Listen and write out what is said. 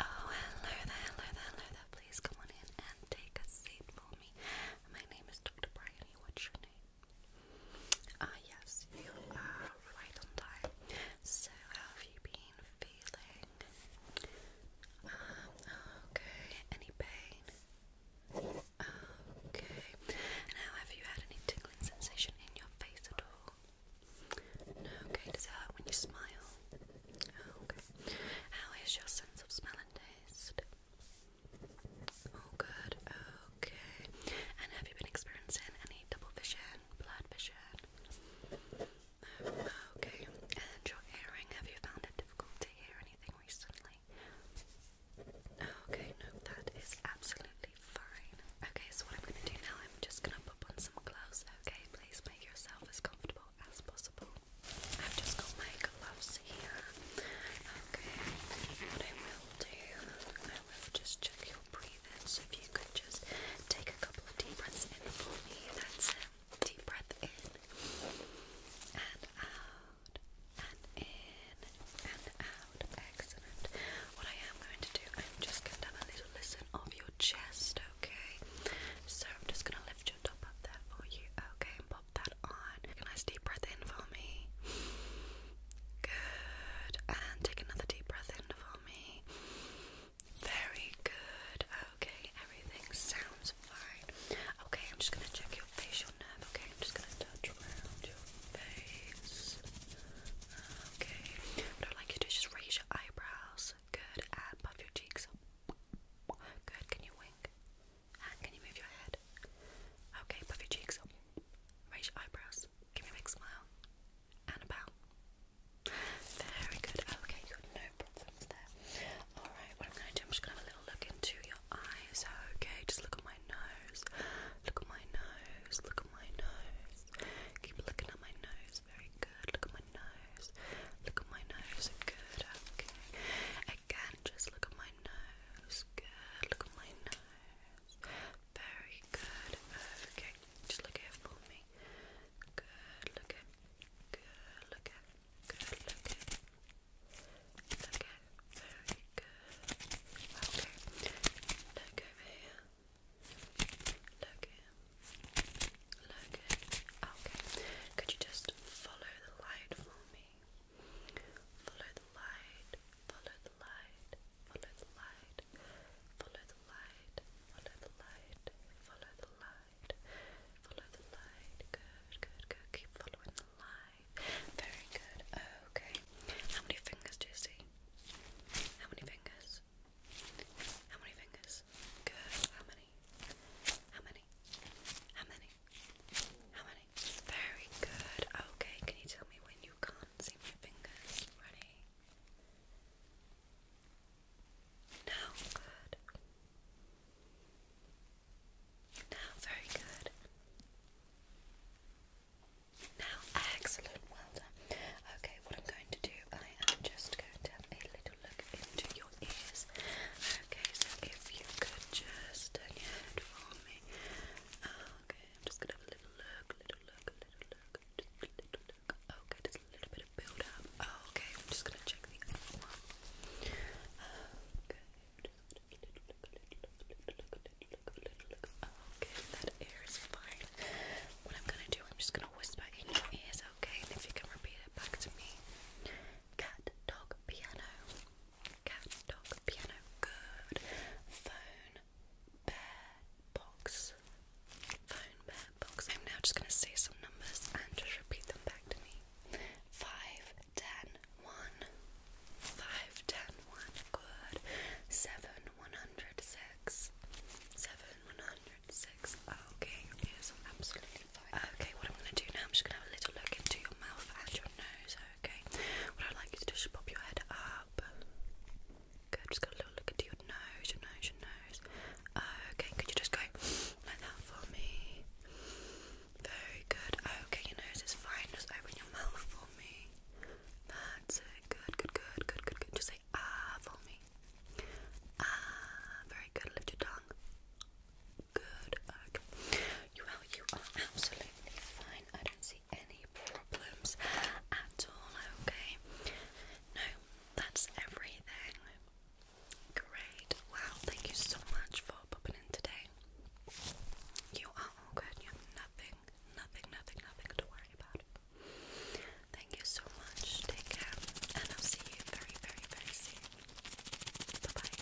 Oh, hello there, hello there, hello there. Please come on in and take a seat for me. My name is Dr. Bryony. What's your name? Ah, yes, you are right on time. So, have you been feeling? Ah, okay. Any pain? Ah, okay. Now, have you had any tingling sensation in your face at all? okay, does that when you smile? Oh, okay. How is your sense of smell and taste? Oh, good, okay. And have you been experiencing any double vision, blurred vision? Oh, okay, and your hearing, have you found it difficult to hear anything recently? Oh, okay, no, that is absolutely Okay, so what I'm gonna do now, I'm just gonna pop on some gloves, okay? Please make yourself as comfortable as possible. I've just got my gloves here. Okay, what I will do, I will just check your breathing. So if you could just take a couple of deep breaths in for me, that's it. Deep breath in and out and in and out. Excellent. What I am going to do, I'm just going to have a little listen of your chest, okay? So I'm just going to lift your top up there for you, okay? And pop that on. Take a nice deep breath in for me. Good. And take another deep breath in for me. Very good. Okay, everything sounds fine. Okay, I'm just going to check your your facial nerve. Okay, I'm just gonna touch around your face. Okay, what i like you to do is just raise your eyebrows. Good, and puff your cheeks. Good, can you wink? And can you move your head? Okay, puff your cheeks. Raise your eyebrows. Give me a big smile. And a Very good. Okay, good. No problems there. Alright, what I'm going to do, I'm just going to have a little look into your eyes, okay? Just look at my nose, look at my nose, look at my nose. Keep looking at my nose, very good. Look at my nose, look at my nose, good, okay. Again, just look at my nose, good, look at my nose. Very good, okay. Just look here for me. Good, look good, look good, look Okay, very good. Okay, look over here. Okay, could you just follow the light for me? Follow the light, follow the light, follow the light, follow the light, follow the light, follow the light. Follow the light. Good, good, good. Keep following the light. Very good. Okay. How many fingers do you see? How many fingers? How many fingers? Good. How many? How many? How many? How many? Very good. Okay. Can you tell me when you can't see my fingers? Ready? Now, good. Now, very good. Now, excellent, well done. Okay, what I'm going to do, I am just going to have a little look into your ears. Okay, so if you could just turn uh, your head for me. Okay, I'm just going to have a little look, little look, little look, just a Oh, okay, there's a little bit of build up. Oh, okay, I'm just gonna check the other one. Okay, okay, that air is fine. What I'm gonna do, I'm just gonna whisper in your ears, okay? And if you can repeat it back to me. Cat, dog, piano. Cat, dog, piano. Good. Phone, bear box. Phone bear box. I'm now just going to say some numbers and just repeat them back to me. 5, 10, 1. 5, 10, 1. Good. 7, 106. 7, 106. Okay, your ears are absolutely fine. Okay, what I'm going to do now, I'm just going to have a little look into your mouth and your nose, okay? What I'd like you to do is pop your head up. Good, just got a little look into your nose, your nose, your nose. Okay, could you just go like that for me? Very good. Okay, your nose is fine. Just open your mouth for me. That's it. Good, good, good, good, good, good. Just say ah for me. Ah, very good. Lift your tongue. Good. Okay. You are, you are absolutely fine. I don't see any problems at all, okay? No, that's everything. Great. Wow, thank you so much for popping in today. You are all good. You have nothing, nothing, nothing, nothing to worry about. Thank you so much. Take care. And I'll see you very, very, very soon. Bye-bye.